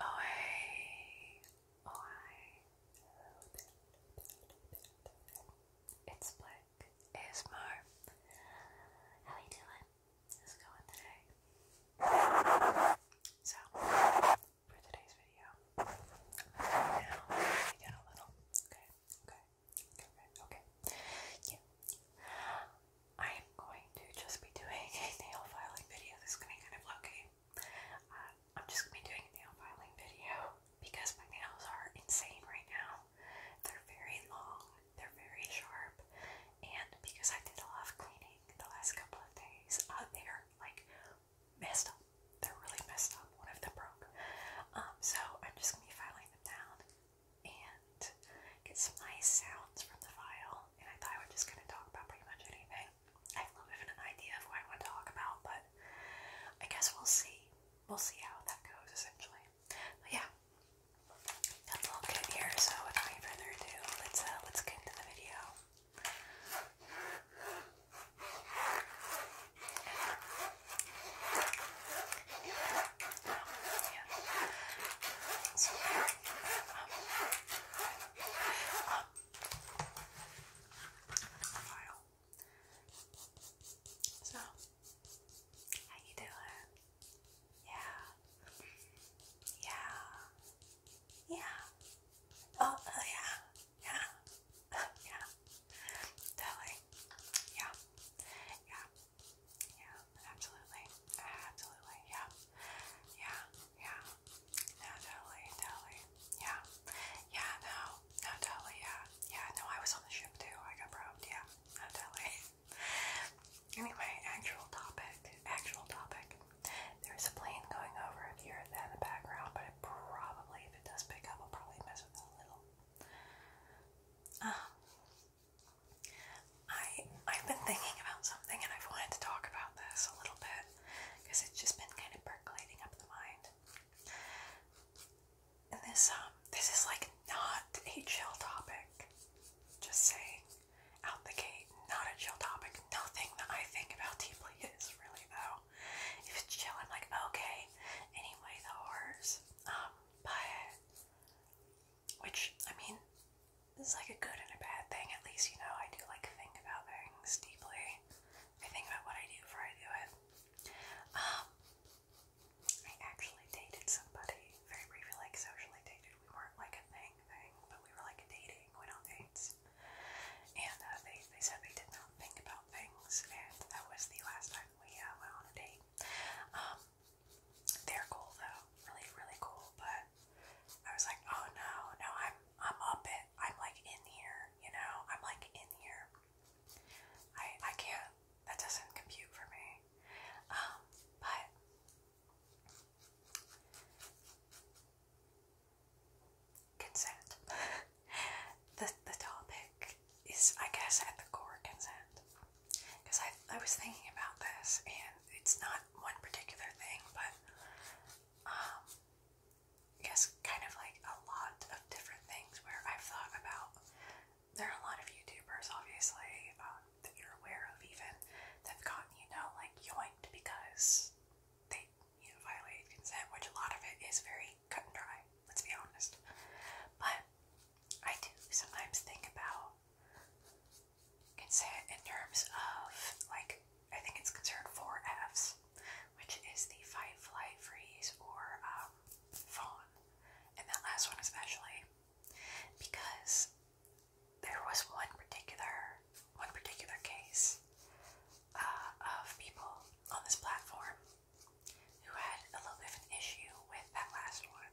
Oh hey, oh hey, hello there, It's Black How you doing? How's it going today? So, for today's video, I am going to just be doing a nail filing video. This is going to be kind of low uh, I'm just going to be doing a nail filing video because my nails are insane right now. They're very long, they're very sharp, and because I did a lot of cleaning the last couple of days, uh, they are like messed up. They're really messed up. One of them broke. Um, so I'm just going to be filing them down and get some nice sounds from the file. And I thought I was just going to talk about pretty much anything. I have a little bit of an idea of what I want to talk about, but I guess we'll see. We'll see how that goes, essentially. yeah, got a little here, so without any further ado, let's uh, let's get into the video. Um, tomorrow. So, how you doing? Yeah. Yeah. Yeah. Oh, oh yeah. Yeah. yeah. Totally. Yeah. Yeah. Yeah. Absolutely. Absolutely. Yeah. Yeah. Yeah. No, totally, totally. Yeah. Yeah, no. No, totally, yeah. Yeah, no, I was on the ship too. I got probed, yeah. No, totally. anyway, actual topic. Actual topic. There's a plane going over if you that in the background, but it probably, if it does pick up, I'll probably mess with it a little. Um, I I've been thinking about something and I've wanted to talk about this a little bit because it's just been kind of percolating up in the mind. And this um this is like not a chill topic. Just saying out the gate, not a chill topic. Nothing that I think about deeply is really though. If it's chill, I'm like, okay, anyway the horrors. Um, but which I mean this is like a good and a bad thing. At least, you know, I do like think about things deeply. I think about what I do before I do it. Um, I actually dated somebody very briefly, like socially dated. We weren't like a thing but we were like dating, went on dates. And uh, they, they said they did not think about things, and that was the last time we uh, went on a date. Um, they're cool though, really, really cool, but I was like, oh no, no, I'm I'm up it. I'm like in here, you know. I'm like in here. I I can't. That doesn't compute for me. Um, but consent. the the topic is, I guess, at the core consent. Because I I was thinking about this, and it's not one particular thing, but um, guess kind of like a lot of different things where I've thought about. There are a lot of YouTubers, obviously, um, that you're aware of, even that've gotten, you know, like yoinked because they, you know, violated consent, which a lot of it is very cut and dry, let's be honest. But I do sometimes think about consider in terms of like I think it's concerned four Fs, which is the fight, flight, freeze, or um, fawn, and that last one especially because there was one particular one particular case uh, of people on this platform who had a little bit of an issue with that last one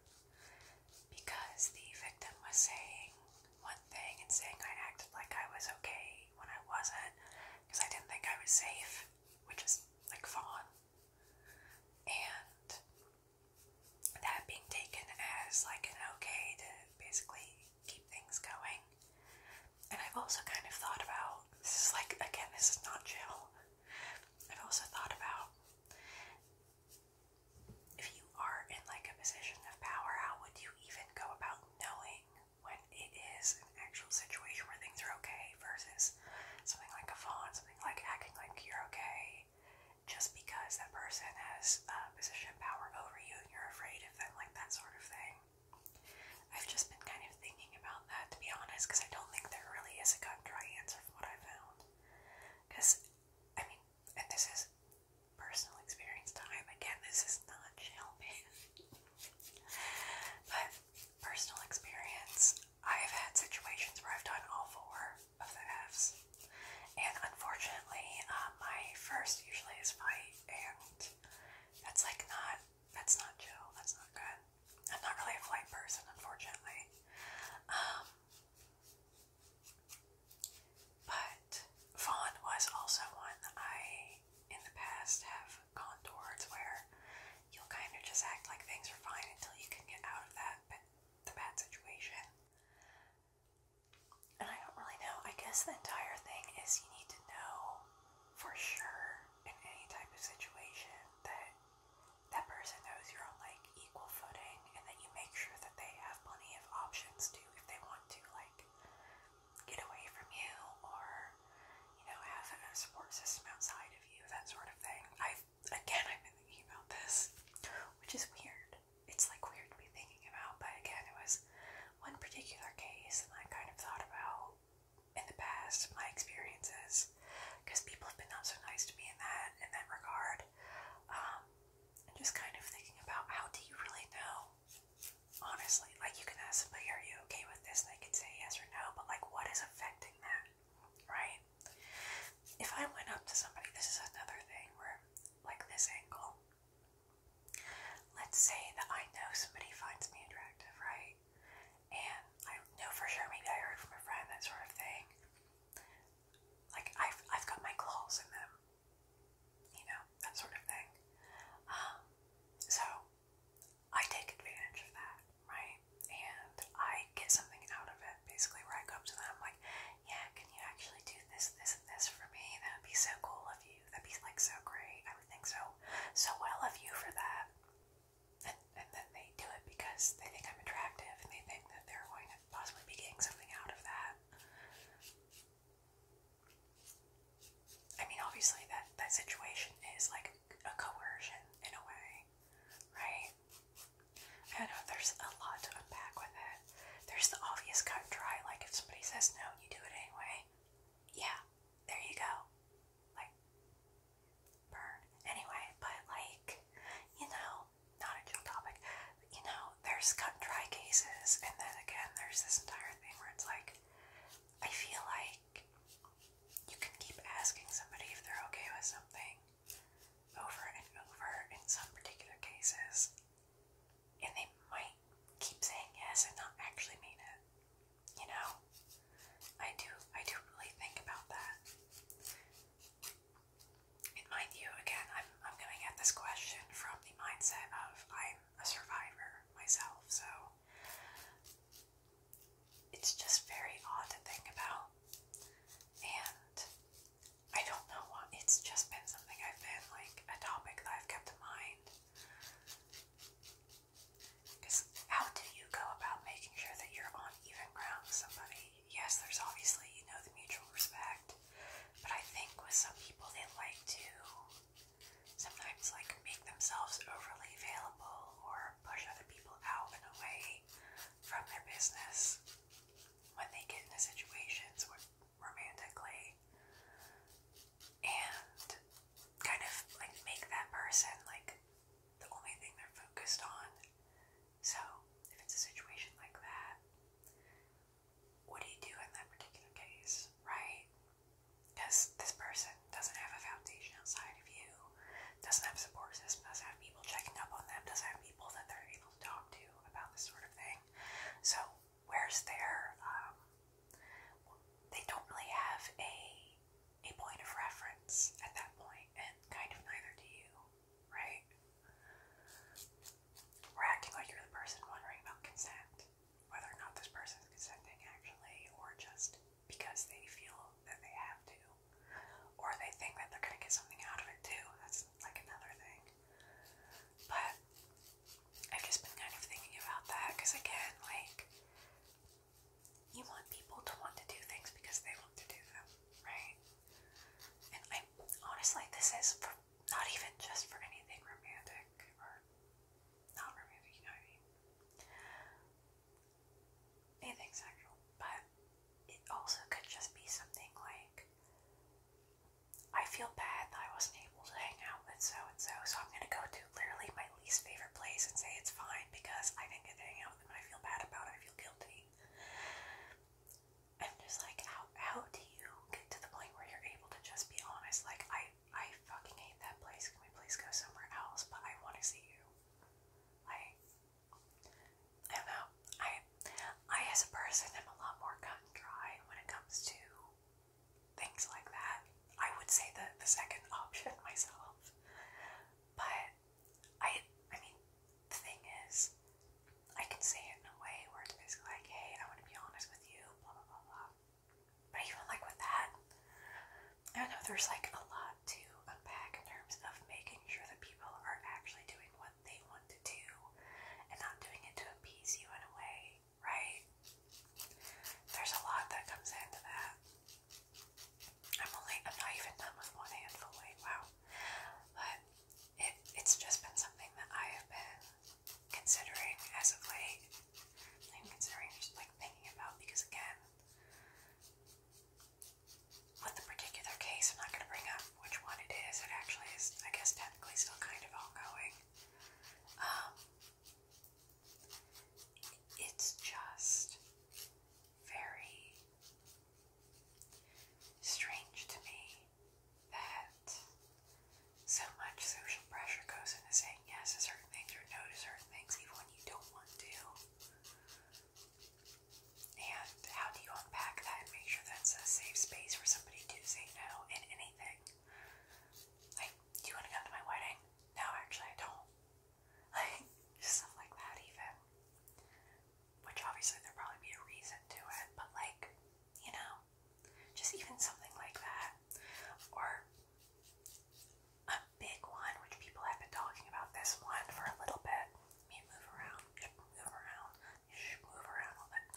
because the victim was saying one thing and saying I acted like I was okay when I wasn't because I didn't think I was safe, which is like fun, And that being taken as like an okay to basically keep things going. And I've also kind of thought about this is like again, this is not jail. I've also thought about if you are in like a position of power, how would you even go about knowing when it is an actual situation where things are okay versus something like a fawn, something like acting like you're okay just because that person has a position of power over you and you're afraid of them, like that sort of thing. I've just been kind of thinking about that to be honest, because I don't think there really is a cut and dry answer from what I found. Because, I mean, and this is personal experience time. Again, this is not shelving. but personal experience, I've had situations where I've done all four of the F's. And unfortunately, uh, my first usually is fight, and that's like not, that's not chill, that's not good. I'm not really a flight person, unfortunately. Um, but Fawn was also one I, in the past, have gone towards where you'll kind of just act like things are fine until you can get out of that the bad situation. And I don't really know. I guess the entire thing is you need to know for sure in any type of situation that that person knows you're on like equal footing and that you make sure that they have plenty of options if they want to like get away from you or you know have a support system outside of you, that sort of thing. i again I've been thinking about this, which is weird. It's like weird to be thinking about, but again it was one particular case and I kind of thought about in the past my experiences because people have been not so nice to me in that in that regard. Um, and just kind of thinking about how do you really know? Honestly, like you can ask somebody, are you okay with this? And they can say yes or no, but like what is affecting that, right? If I went up to somebody, this is another thing where, like this angle, let's say that I know somebody finds me attractive, right? And I know for sure, maybe I heard from a friend, that sort of thing. Like I've, I've got my claws in them, you know, that sort of thing. Um, so I take advantage of that, right? And I get something out of it, basically, where I go up to them, I'm like, yeah, can you actually do this, this, and this for me? That would be so cool of you. That'd be like so great. I would think so, so well of you for that. And, and then they do it because they think I'm attractive and they think that they're going to possibly be getting something out of that. I mean, obviously that that situation is like a coercion in a way, right? I know. There's a lot to unpack with it. There's the obvious cut and dry. Like if somebody says no, you do it anyway. Yeah, there you go. Like burn anyway. But like you know, not a chill topic you know, there's cut and dry cases, and then again, there's this entire thing where it's like, I feel like you can keep asking somebody if they're okay with something over and over in some particular cases, and they might keep saying yes and not actually mean it. You know, I do, I do really think about that mind you, again, I'm I'm gonna get this question from the mindset of I'm a survivor myself, so it's just very odd to think about. And I don't know what it's just been something I've been like a topic that I've kept in mind. Because how do you go about making sure that you're on even ground with somebody? Yes, there's obviously, you know, the mutual respect but I think with some people, they like to sometimes like make themselves overly available or push other people out and away from their business when they get into situations romantically and kind of like make that person like the only thing they're focused on. So if it's a situation like that, what do you do in that particular case, right? Because this person doesn't have a foundation outside of you, doesn't have a support system, doesn't have people checking up on them, doesn't have people that they're able to talk to about this sort of thing. So, where's their, um, they don't really have a, a point of reference at that point, and kind of neither do you, right? We're acting like you're the person wondering about consent, whether or not this person is consenting actually, or just because they feel that they have to, or they think that they're going to get something out of it too. That's like another thing. But I've just been kind of thinking about that because, again, like, you want people to want to do things because they want to do them, right? And I honestly, this is for not even just for anything romantic or not romantic, you know what I mean? Anything sexual, but it also could just be something like I feel bad that I wasn't able to hang out with so and so, so I'm gonna go to literally my least favorite place and say it's fine because I didn't get to hang out with them I feel bad about I feel guilty. I'm just like, how how do you get to the point where you're able to just be honest? Like, I I fucking hate that place. Can we please go somewhere else? But I want to see you. Like, I don't I I as a person i am a lot more cut and dry when it comes to things like that. I would say the the second option myself, but I I mean the thing is. I can say it in a way where it's basically like, hey, I want to be honest with you, blah, blah, blah, But even like with that, I know there's like a lot to unpack in terms of making sure that people are actually doing what they want to do and not doing it to appease you in a way, right? There's a lot that comes into that. I'm only, I'm not even done with one handful, like, wow. But it, it's just been something that I have been considering as of late. I'm considering just like thinking about because again, with the particular case, I'm not going to bring up which one it is. It actually is, I guess, technically still kind of ongoing. Um, it's just very strange to me that so much social pressure goes into saying yes to certain things or no to certain things, even when you don't want to. And how do you unpack that and make sure that's a safe space for somebody to say no in anything? Like, do you want to come to my wedding? No, actually, I don't. Like, stuff like that, even. Which obviously there probably be a reason to it, but like, you know, just even something like that. Or a big one, which people have been talking about this one for a little bit. move around, move around, move around a little bit.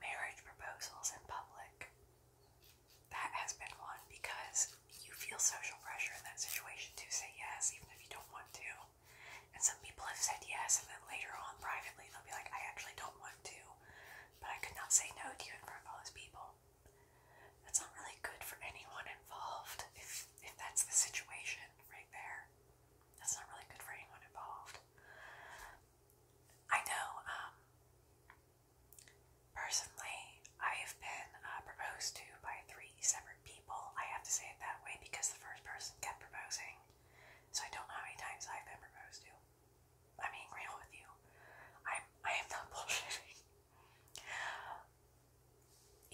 Marriage proposals in public. That has been one because you feel social pressure in that situation to say yes, even if you don't want to. And some people have said yes, and then later on privately they'll be like, I actually don't want to, but I could not say no to you in front of all those people. That's not really good for anyone involved if, if that's the situation right there. That's not really good for anyone involved. I know, um, personally, I have been uh, proposed to by three separate people. I have to say it that way because the first person kept proposing. So I don't know how many times I've been proposed to. I'm being real with you. I'm I am not bullshitting.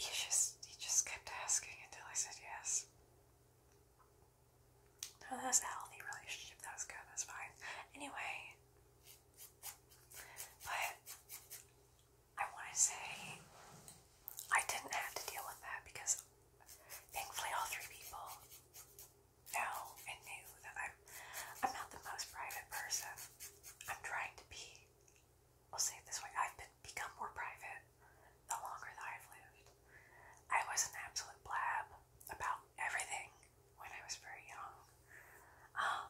He just he just kept asking until I said yes. No, that was a healthy relationship. That was good. That's fine. Anyway, but I want to say I didn't have to deal with that because thankfully all three people know and knew that I'm I'm not the most private person. I'm trying to be. We'll say it this way, I've become more private the longer that I've lived. I was an absolute blab about everything when I was very young. Um,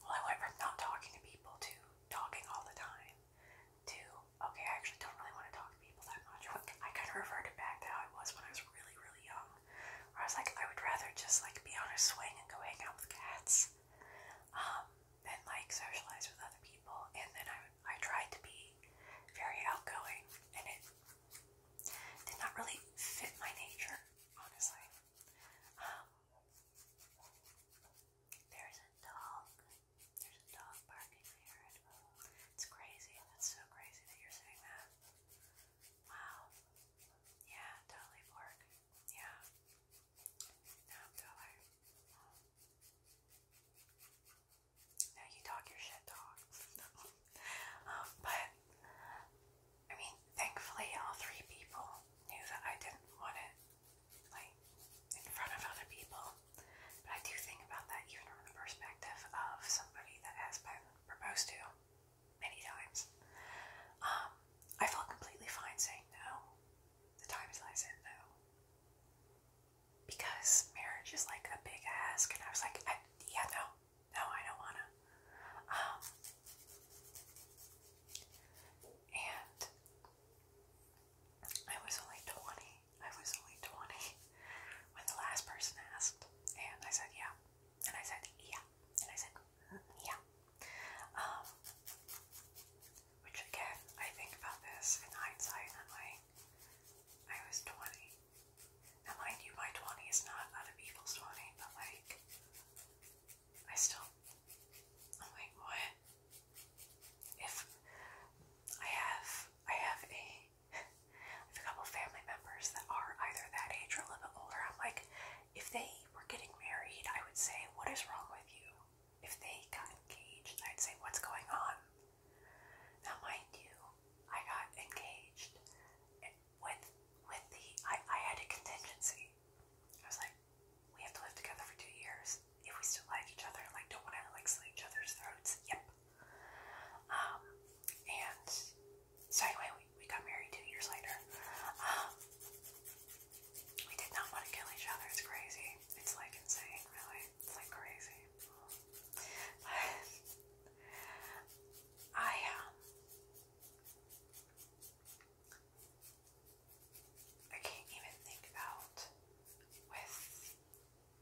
well, I went from not talking to people to talking all the time to, okay, I actually don't really want to talk to people that much. I kind of reverted back to how I was when I was really, really young. Where I was like, I would rather just like be on a swing and go hang out with cats um, than like socialize with other people. And then I, I tried to be very outgoing and it did not really fit my nature, honestly. Um, there's a dog. There's a dog barking there. It's crazy. That's so crazy that you're saying that. Wow. Yeah, totally pork. Yeah. No, totally. No, you talk your shit, dog. Um, but, I mean, thankfully all three people knew that I didn't want it like in front of other people. But I do think about that even from the perspective of somebody that has been proposed to many times. Um, I felt completely fine saying no the times I said no. Because marriage is like a big ask, and I was like, yeah, no, no, I don't wanna. Um, and I was only 20 I was only 20 when the last person asked. And I said, yeah. And I said, yeah. And I said, mm, yeah. Um, which again, I think about this in hindsight, and I'm like, I was 20. Now, mind you, my 20 is not other people's 20, but like, I still, I'm like, what? if I have I have a I have a couple family members that are either that age or a little older, I'm like, if they were getting married, I would say, What is wrong with you? If they got engaged, I'd say, What's going on? Now mind you, I got engaged with with the I, I had a contingency. I was like, we have to live together for two years. If we still like each other and like don't want to like slit each other's throats, yep. Um, and so anyway, we, we got married two years later. Um, we did not want to kill each other. It's crazy. It's like insane, really. It's like crazy. I um, I can't even think about with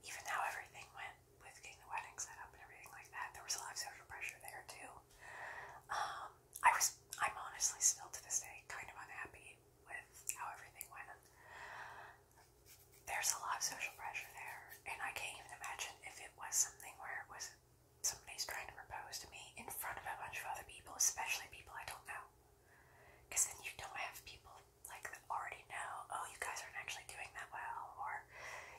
even how everything went with getting the wedding set up and everything like that. There was a lot of social pressure there too. Um, I was I'm honestly still to this day kind of unhappy with how everything went. There's a lot of social pressure there, and I can't even imagine if it was something where it was somebody's trying to propose to me in front of a bunch of other people, especially people I don't know. Because then you don't have people like already know, oh, you guys aren't actually doing that well, or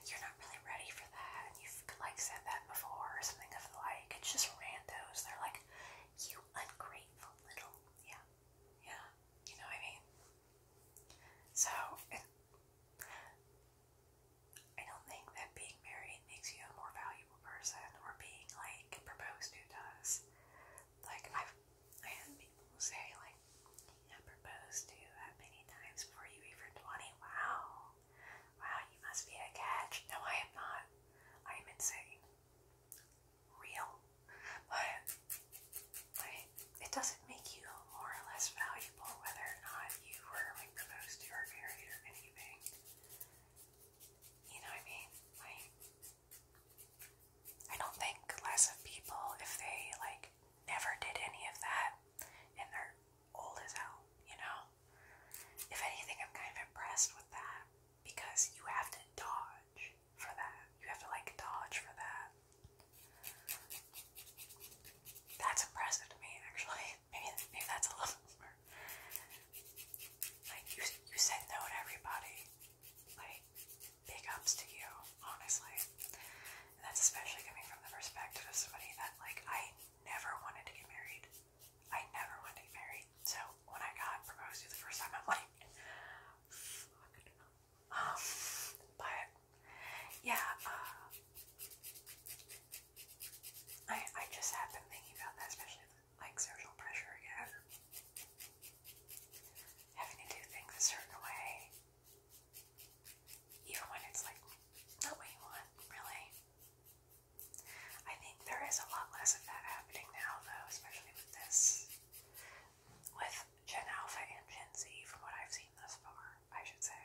you're not really ready for that, and you've like said that before, or something of the like. It's just randos. They're like, you ungrateful little, yeah, yeah. You know what I mean? So I don't think that being married makes you a more valuable person, or being like proposed does. Like I've I had people say like I proposed to you that many times before you even twenty. Wow. Wow, you must be a catch. No, I am not. I am insane. Real. But like it doesn't make you more or less valuable whether or not you were proposed to or married or anything. You know what I mean? Like I don't think less of people if they like never did any of that and they're old as hell, you know? If anything, I'm kind of impressed with that because you have to dodge for that. You have to like dodge for that. That's impressive to me, actually. Maybe, maybe that's a little more. Like, you, you said no to everybody like big ups to you, honestly. that's especially coming from the perspective of somebody that like I never wanted to get married. I never wanted to get married. So when I got proposed to the first time, I'm like, Um, but yeah, uh, I I just have been thinking about that, especially like social pressure again. Having to do things a certain way, even when it's like not what you want, really. I think there is a lot less of that happening now, though, especially with this, with Gen Alpha and Gen Z, from what I've seen thus far, I should say.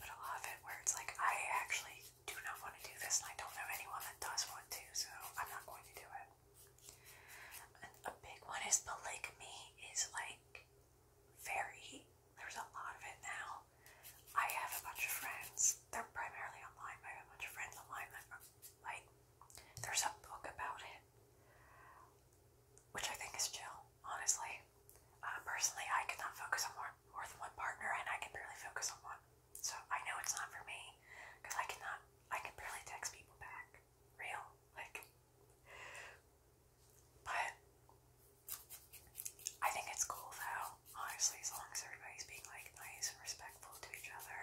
But a lot of it where it's like, I actually do not want to do this, and I don't know anyone that does want to, so I'm not going to do it. A big one is polygamy is like very there's a lot of it now. I have a bunch of friends. They're primarily online, but I have a bunch of friends online like there's a book about it. Which I think is chill, honestly. Uh, personally, I cannot focus on more than one partner, and I can barely focus on one. So I know it's not for me, because I cannot I can barely text people back. Real. Like but I think it's cool though, honestly, as long as everybody's being like nice and respectful to each other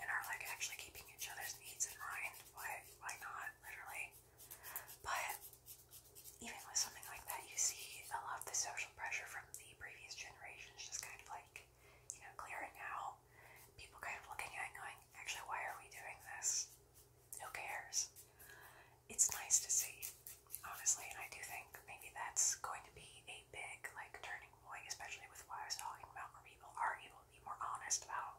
and are like actually keeping each other's needs in mind. Why why not? Literally. But even with something like that, you see a lot of the social pressure from the previous generation just kind of like you know, clearing out. People kind of looking at going, actually, why are we doing this? Who cares? It's nice to see, honestly, I do think maybe that's going to be a big, like, turning point, especially with what I was talking about, where people are able to be more honest about,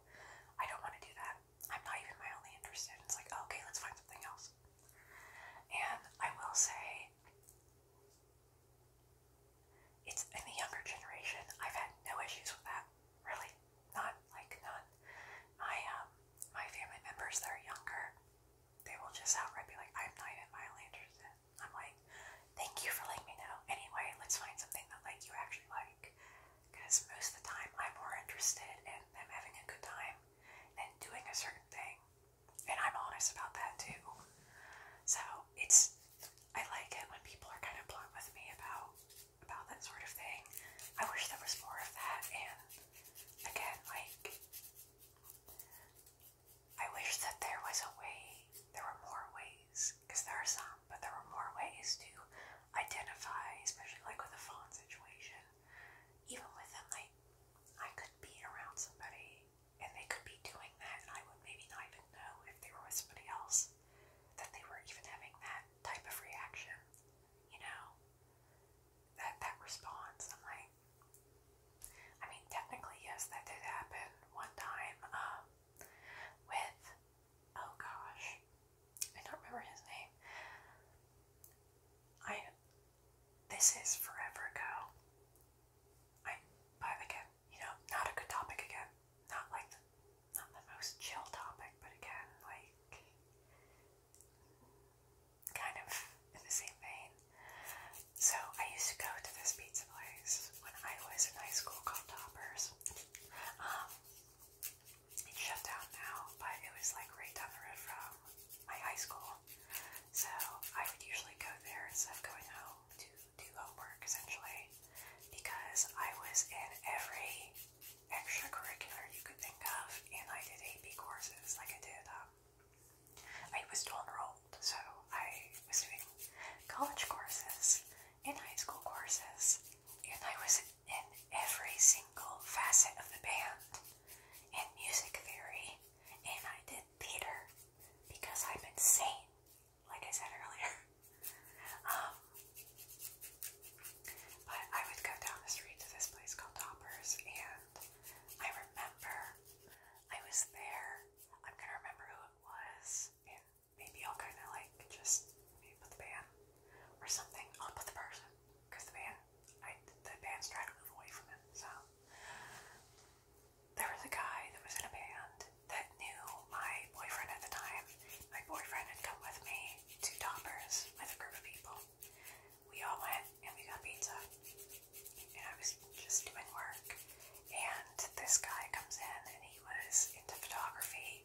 I don't want to do that. I'm not even my mildly interested. It's like, okay, let's find something else. And I will say, it's in the younger generation. I've had no issues with that, really, not like none. I um, my family members they are younger, they will just outright be like, "I'm not even mildly interested." I'm like, "Thank you for letting me know." Anyway, let's find something that like you actually like, because most of the time I'm more interested in them having a good time than doing a certain thing, and I'm honest about that too. So it's I like it when people are kind of blunt with me about about that sort of thing. I wish there was more of that, and again, like I wish that there was a way. There were more ways, because there are some, but there were more ways to identify, especially like with a phone situation. Even with them, like I could be around somebody and they could be doing that, and I would maybe not even know if they were with somebody else that they were even having that type of reaction, you know? That that response. I'm like I mean technically yes, that did happen one time, um, with oh gosh. I don't remember his name. I this is forever ago. I but again you know, not a good topic again. Not like not the most chill topic, but again, like kind of in the same vein. So I used to go to this pizza place when I was in high school called Toppers. Um, it's shut down now, but it was like right down the road from my high school. So I would usually go there instead of going home to do homework essentially because I was in every extracurricular you could think of and I did AP courses like I did um, I was dual enrolled so I was doing college courses and high school courses and I was in every single facet of the band and music theory and I did theater because I'm insane like I said earlier. Um, but I would go down the street to this place called Toppers, and I remember I was there. I'm gonna remember who it was, and maybe I'll kind of like just maybe put the band or something. I'll put the person because the band, the band's trying to move away from it, so there was a guy that was in a band that knew my boyfriend at the time. My boyfriend had come with me to Toppers with a group of people. We all went and we got pizza. And I was just doing work. And this guy comes in and he was into photography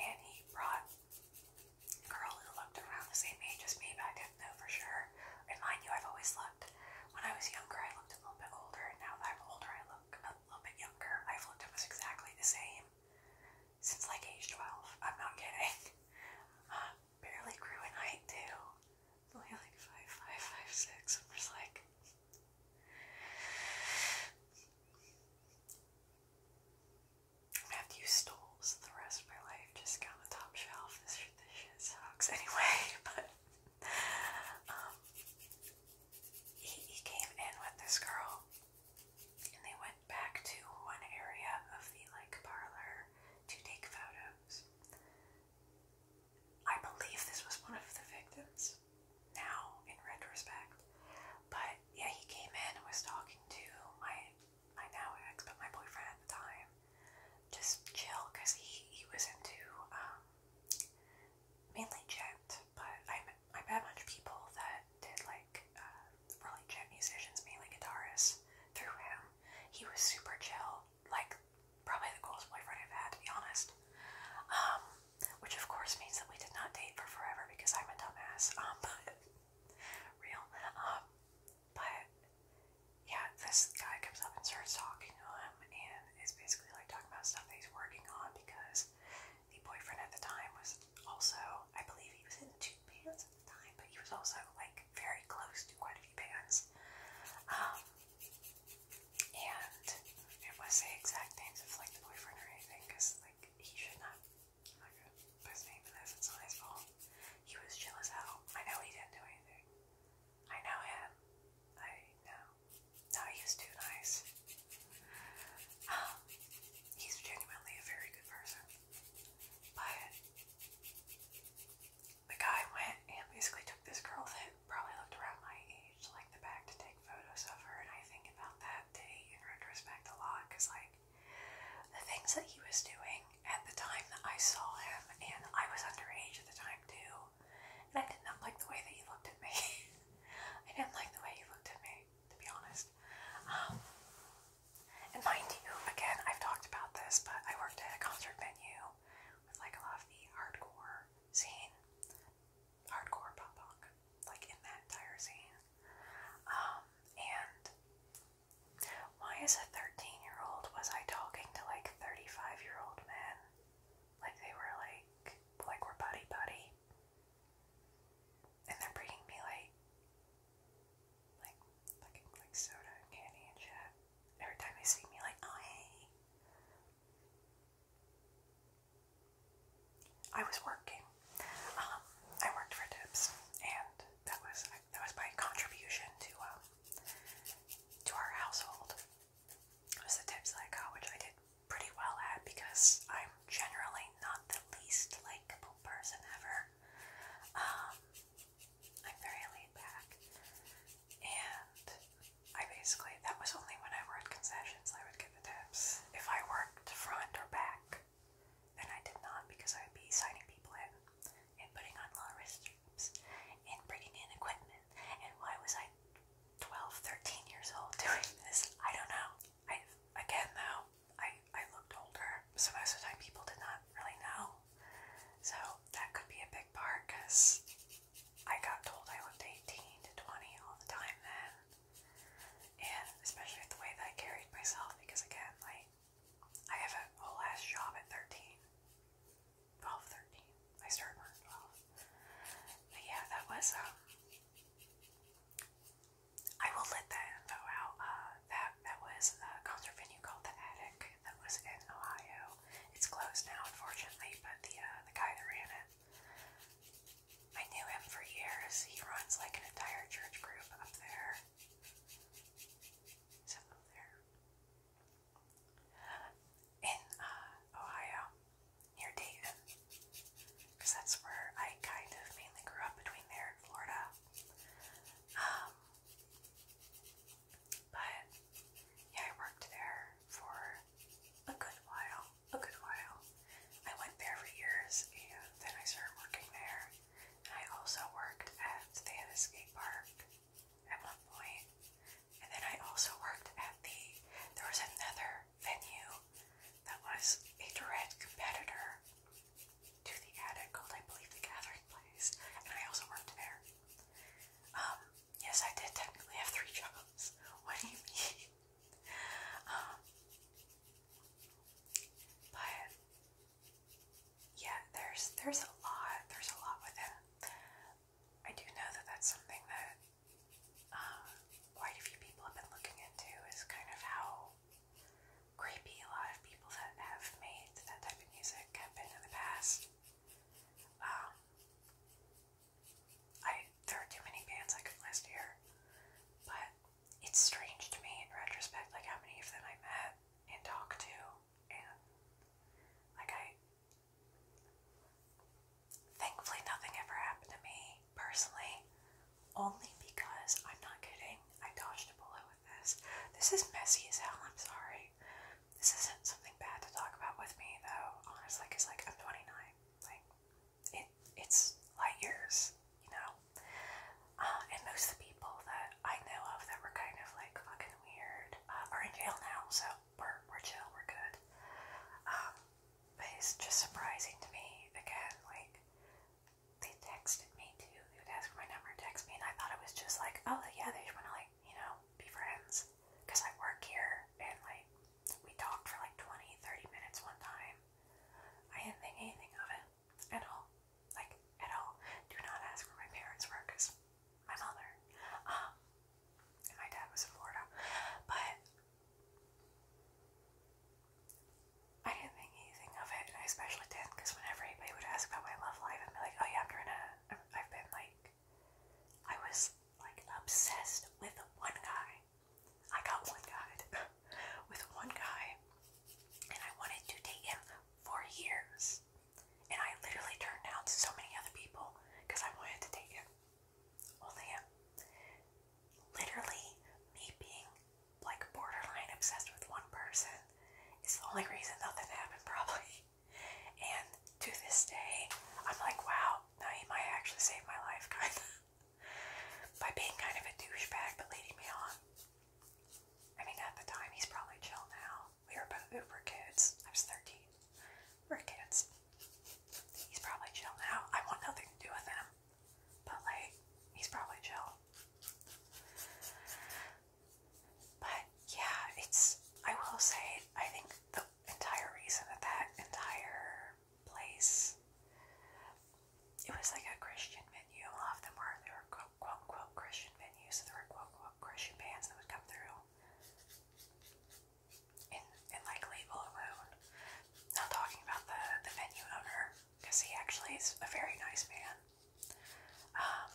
and he brought a girl who looked around the same age as me, but I didn't know for sure. And mind you, I've always looked. When I was younger, I looked a little bit older, and now that I'm older, I look a little bit younger, my flip tip was exactly the same since like age 12. I'm not kidding. Uh, barely grew in height too. only like 5'5", I'm just like... I'm gonna have to use stools the rest of my life, just on the top shelf. this shit sucks anyway, but um, he, came in with this girl, and they went back to one area of the like parlor to take photos. I believe this was one of the victims. Now, in retrospect, but yeah, he came in and was talking to my my now ex, but my boyfriend at the time. Just chill, cause he he was into um, mainly gent, but I I met a bunch of people that did like uh, really gent musicians, mainly guitarists. Through him, he was super chill, like probably the coolest boyfriend I've had to be honest. Um, which of course means that we did not date for forever because I'm a dumbass. Um, but real. Um, but yeah, this guy comes up and starts talking to him, and is basically like talking about stuff that he's working on because the boyfriend at the time was also, I believe he was in two bands at the time, but he was also like very close to quite a few bands. Um, and I don't want to say exact names of like the boyfriend or anything because like he should not, I'm not gonna put his name for this, it's not his fault. He was chill as hell. I know he didn't do anything. I know him. I know. No, he's too nice. Um, he's genuinely a very good person. But the guy went and basically took this girl that probably looked around my age, like the back, to take photos of her. And I think about that day in retrospect a lot because, like, the things that he was doing at the time that I saw him, and I was underage at the time too, and I did not like the way that you looked at me. I didn't like the way you looked at me, to be honest. Um, and mind you, again, I've talked about this, but I worked at a concert venue with like a lot of the hardcore scene, hardcore pop punk, like in that entire scene. Um, and why, is a 13 year old, was I talking to like 35 year old man? Like they were like, like we're buddy buddy. And they're bringing me like, like, like, soda and candy and shit. Every time they see me, like, oh hey. I was working. Um, I worked for tips, and that was that was my contribution to um, to our household was the tips that I got, which I did pretty well at because I'm generally not the least likable person ever. Um, I'm very laid back. And I basically, that was only when I worked concessions I would get the tips. If I worked front or back, then I did not because I would be signing people in and putting on low risk jobs and bringing in equipment and why was I 12, 13 years old doing this? I don't know. I again though, I I looked older, so most of the time people did not really know. So that could be a big part because I got told I looked 18 to 20 all the time then. And especially with the way that I carried myself because again, like I have a whole ass job at 13. 12, I started when 12. But yeah, that was, um, I will let that info out. Uh, that, that was a concert venue called The Attic that was in Ohio. It's closed now, unfortunately, but the, uh, the guy that ran it, I knew him for years. He runs like an entire church group up there. It's there in uh, Ohio, near Dayton, because that's where I kind of mainly grew up between there and Florida. Um, but yeah, I worked there for a good while. A good while. I went there for years, and then I started working there. And I also worked at they had a skate park at one point. And then I also worked at the, there was another venue that was a direct competitor to the attic called, I believe, the Gathering Place. And I also worked there. Um, yes, I did technically have three jobs. What do you mean? um, but yeah, there's there's a lot, there's a lot with it. I do know that that's something that uh, quite a few people have been looking into is kind of how creepy a lot of people that have made that type of music have been in the past. Um, I there are too many bands I could list here, but it's strange to me in retrospect, like how many of them I met and talked to, and like I Thankfully, nothing ever happened to me personally, only because I'm not kidding. I dodged a bullet with this. This is messy as hell, I'm sorry. This isn't something bad to talk about with me, though, honestly, it's like, I'm 29. Like, it, it's light years, you know? Uh, and most of the people that I know of that were kind of, like, fucking weird uh, are in jail now, so we're, we're chill, we're good. Um, but it's just surprising to me, again, like, they texted me too. They would ask for my number, text me, and I thought it was just like, oh, yeah, they just want to, like, you know, be friends. Because I work here, and, like, we talked for like 20, 30 minutes one time. I didn't think anything of it at all. Like, at all. Do not ask where my parents were, because my mother. Um, and my dad was in Florida, but I didn't think anything of it, and I especially didn't because whenever anybody would ask about my love life, I'd be like, oh yeah, I'm trying to, I've been like, I was like obsessed with one guy. I got one guy, with one guy, and I wanted to date him for years, and I literally turned down so many other people because I wanted to date him. Only literally me being like borderline obsessed with one person is the only reason nothing happened probably. And to this day, I'm like, wow, now he might actually save my life kind of by being kind of a douchebag but leading me on. I mean, at the time, he's probably chill now. We were both Uber kids. I was 13. We're kids. He's probably chill now. I want nothing to do with him. But, like, he's probably chill. But, yeah, it's. I will say, I think the entire reason that that entire place. It was like a Christian venue. A lot of them were. They were quote unquote Christian venues. So there were quote unquote Christian bands that would come through and, and like leave alone. Not talking about the, the venue owner, because he actually is a very nice man. Um,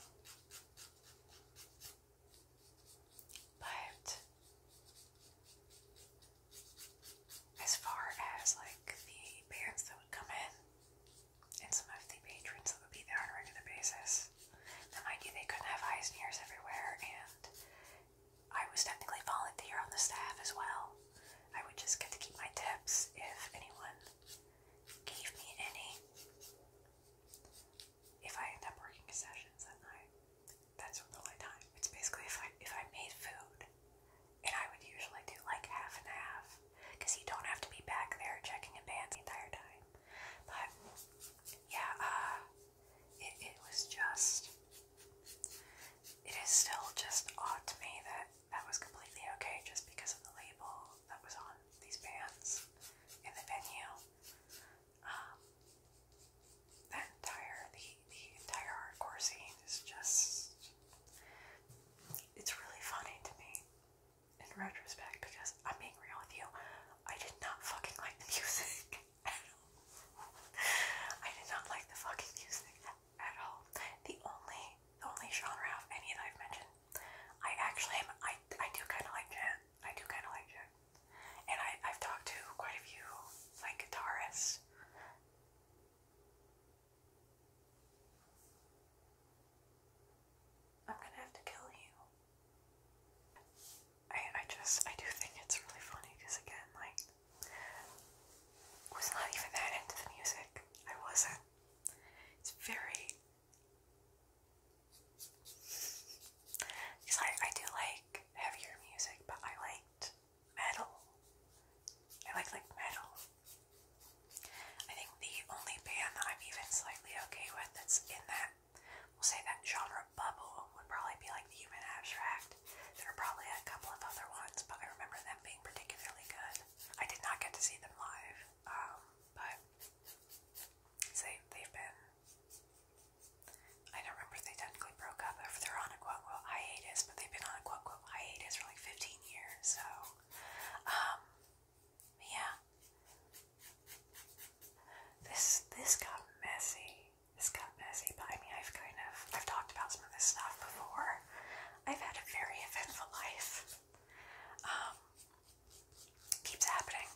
but as far as like the parents that would come in and some of the patrons that would be there on a regular basis, now mind you, they couldn't have eyes and ears everywhere, and I was technically volunteer on the staff as well. I would just get to keep my tips if anyone gave me any. If I end up working sessions at night, that's the time. It's basically if I if I made food, and I would usually do like half and half, because you don't have to be back there checking in bands the entire time. But yeah, uh, it, was just. It is still just odd to me that that was completely okay just because of the label that was on these bands in the venue. Um, that entire the the entire hardcore scene is just it's really funny to me in retrospect because I'm being real with you, I did not fucking like the music. I did not like the fucking music at all. The only only genre of any that I've mentioned, I actually I I do kinda like jazz. I do kinda like jazz. And I, I've talked to quite a few like guitarists. I'm gonna have to kill you. I I just I do think it's really funny because again like was not even that into the music. I wasn't. It's very because I, I do like heavier music, but I liked metal. I like like metal. I think the only band that I'm even slightly okay with that's in that We'll say that genre bubble would probably be like the human abstract. There are probably a couple of other ones, but I remember them being particularly good. I did not get to see them live, um, but they, they've been. I don't remember if they technically broke up, they're on a quote unquote hiatus, but they've been on a quote unquote hiatus for like 15 years, so. Um, yeah. This this got messy. It's got messy, but I mean, I've kind of, I've talked about some of this stuff before. I've had a very eventful life. Um, keeps happening.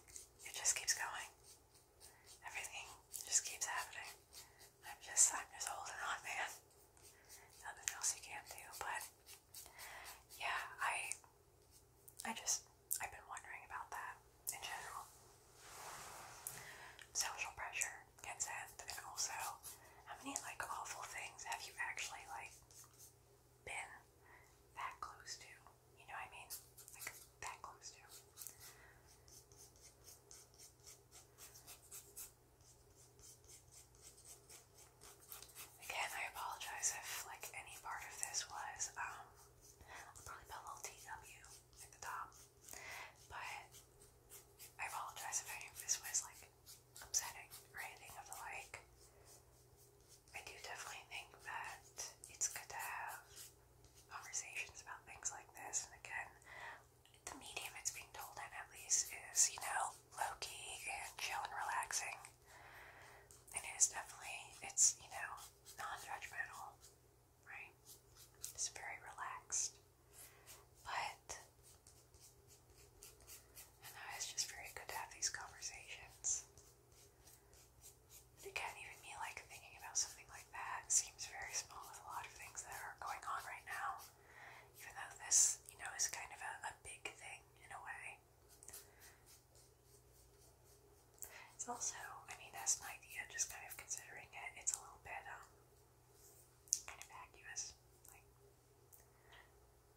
It just keeps going. Everything just keeps happening. I'm just, I'm just holding on, man. Nothing else you can do, but yeah, I, I just, I've been wondering about that in general. Social pressure gets in, also, how many like awful things have you actually like been that close to? You know what I mean? Like that close to. Again, I apologize if like any part of this was um probably a little TW like the top. But I apologize if any of this was like upsetting or anything of the like. I do definitely think that it's good to have conversations about things like this. And again, the medium it's being told in, at least, is, you know, low key and chill and relaxing. And it is definitely, it's, you know, non judgmental right? It's very relaxed. But I know it's just very good to have these conversations. But again, even me like thinking about something like that seems very small with a lot of things that are going on right now. Even though this, you know, is kind of a, a big thing in a way. It's also, I mean, that's an idea, just kind of considering it. It's a little bit, um, kind of vacuous. Like,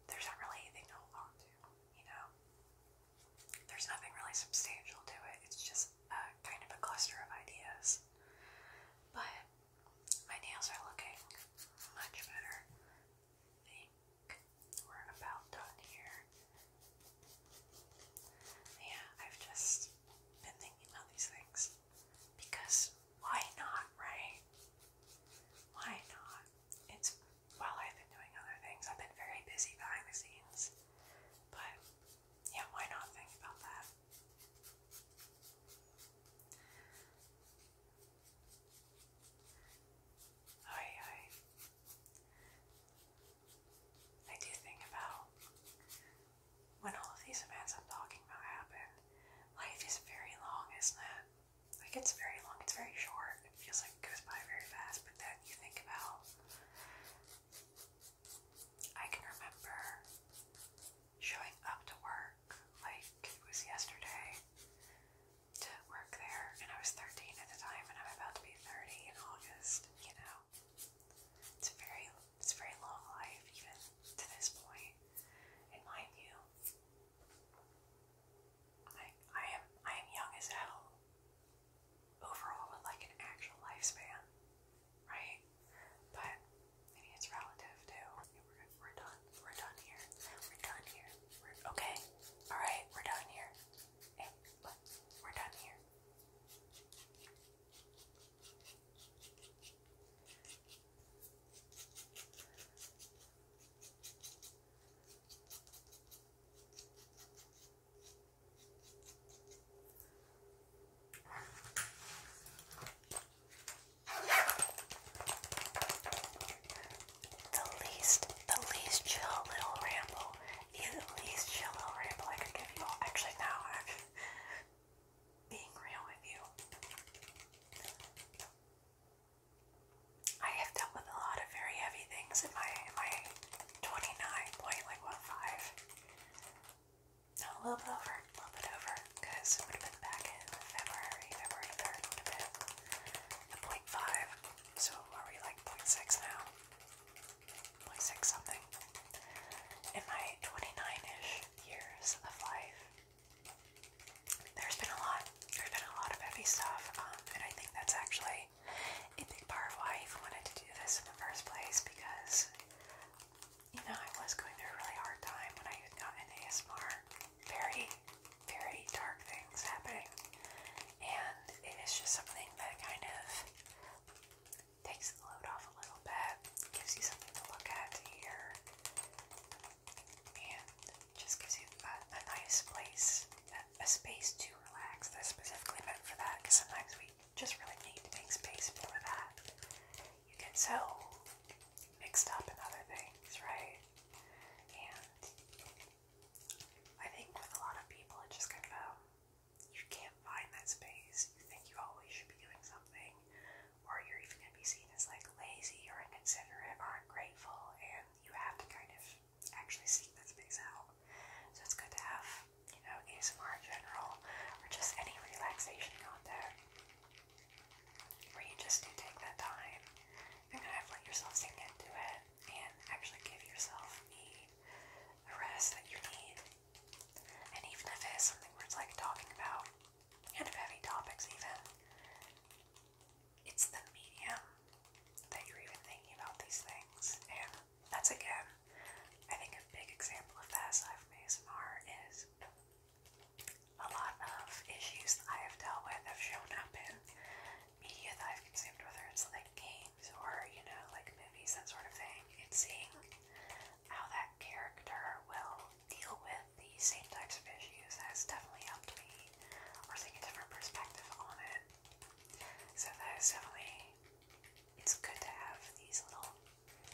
there's not really anything to hold on to, you know? There's nothing really substantial to it. It's just kind of a cluster of ideas. But my nails are looking much better. think we're about done here. Yeah, I've just been thinking about these things. Because why not, right? Why not? It's while I've been doing other things, I've been very busy behind the scenes. But yeah, why not think about that? Aye, aye. I do think about when all of these events I'm talking about happen, life is very long, isn't it? Like it's very long, it's very short, it feels like it goes by very fast, but then you think about I can remember showing up to work like it was yesterday to work there and I was 13 at the time and I'm about to be 30 in August, you know. It's very, it's a very long life even to this point. And mind you, I, I am, I am young as hell overall with like an actual lifespan, right? But I it's relative too. We're, done. We're done here. We're done here. okay. All right. We're done here. we're done here. The least, the least chill little ramble least chill ramble I could give you all. Actually, now I'm being real with you. I have dealt with a lot of very heavy things in my my 29 point like what five. No, a little bit over, a little bit over, because it have been back in February, February 3rd would have been point five. So are we like point six now? like six something in my 29-ish years of life. There's been a lot. There's been a lot of heavy stuff, um, and I think that's actually a big part of why I even wanted to do this in the first place because you know I was going through a really hard time when I had gotten ASMR. Very, very dark things happening, and it is just something that kind of takes the load off a little bit, gives you something to look at, here, and just gives you a, nice place, a, space to relax. That's specifically meant for that because sometimes we just really need to make space for that. You get so mixed up in other things, right? And I think with a lot of people, it just kind of you can't find that space. You think you always should be doing something, or you're even going to be seen as like lazy or inconsiderate or ungrateful, and you have to kind of actually seek that space out. So it's good to have, you know, ASMR in general, or just any relaxation content where you just do take that time and kind of let yourself sink into it and actually give yourself the the rest that you need and even if it is something where it's like talking about kind of heavy topics, even, it's the medium that you're even thinking about these things. And that's again, I think a big example of that aside from ASMR is a lot of issues that I have dealt with have shown up in media that I've consumed, whether it's like games games or, you know, like movies, that sort of thing, and seeing how that character will deal with the same types of issues has definitely helped me, or seeing a different perspective on it. So that is definitely, it's good to have these little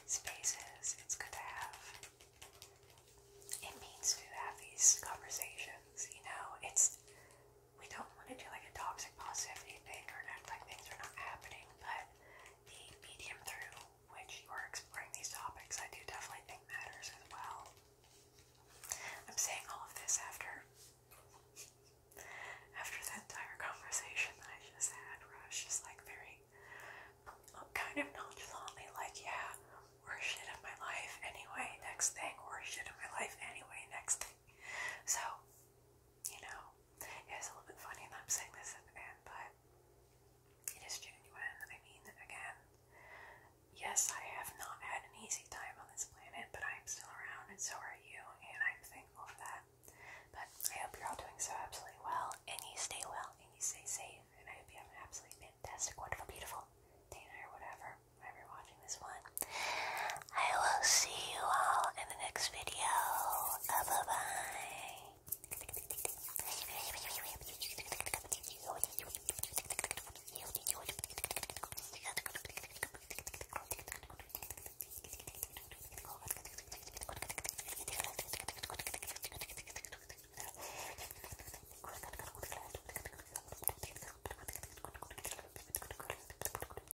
spaces, it's good to have, it means to have these conversations, you know, it's we don't want to do like a toxic positivity thing or act like things are not happening, but the medium through which you are exploring these topics, I do definitely think matters as well. I'm saying all of this after after the entire conversation that I just had, where I was just like very uh, kind of nonchalantly like, yeah, worst shit in my life anyway, next thing, worst shit in my life anyway, next thing. So, you know, it's a little bit funny that I'm saying this at the end, but it is genuine. I mean, again, yes, I have not had an easy time on this planet, but I'm still around and so are you, and I'm thankful for that. But I hope you're all doing so absolutely well, and you stay well, and you stay safe, and I hope you have an absolutely fantastic, wonderful, beautiful day or whatever, whenever you're watching this one. I will see you all in the next video. bye bye.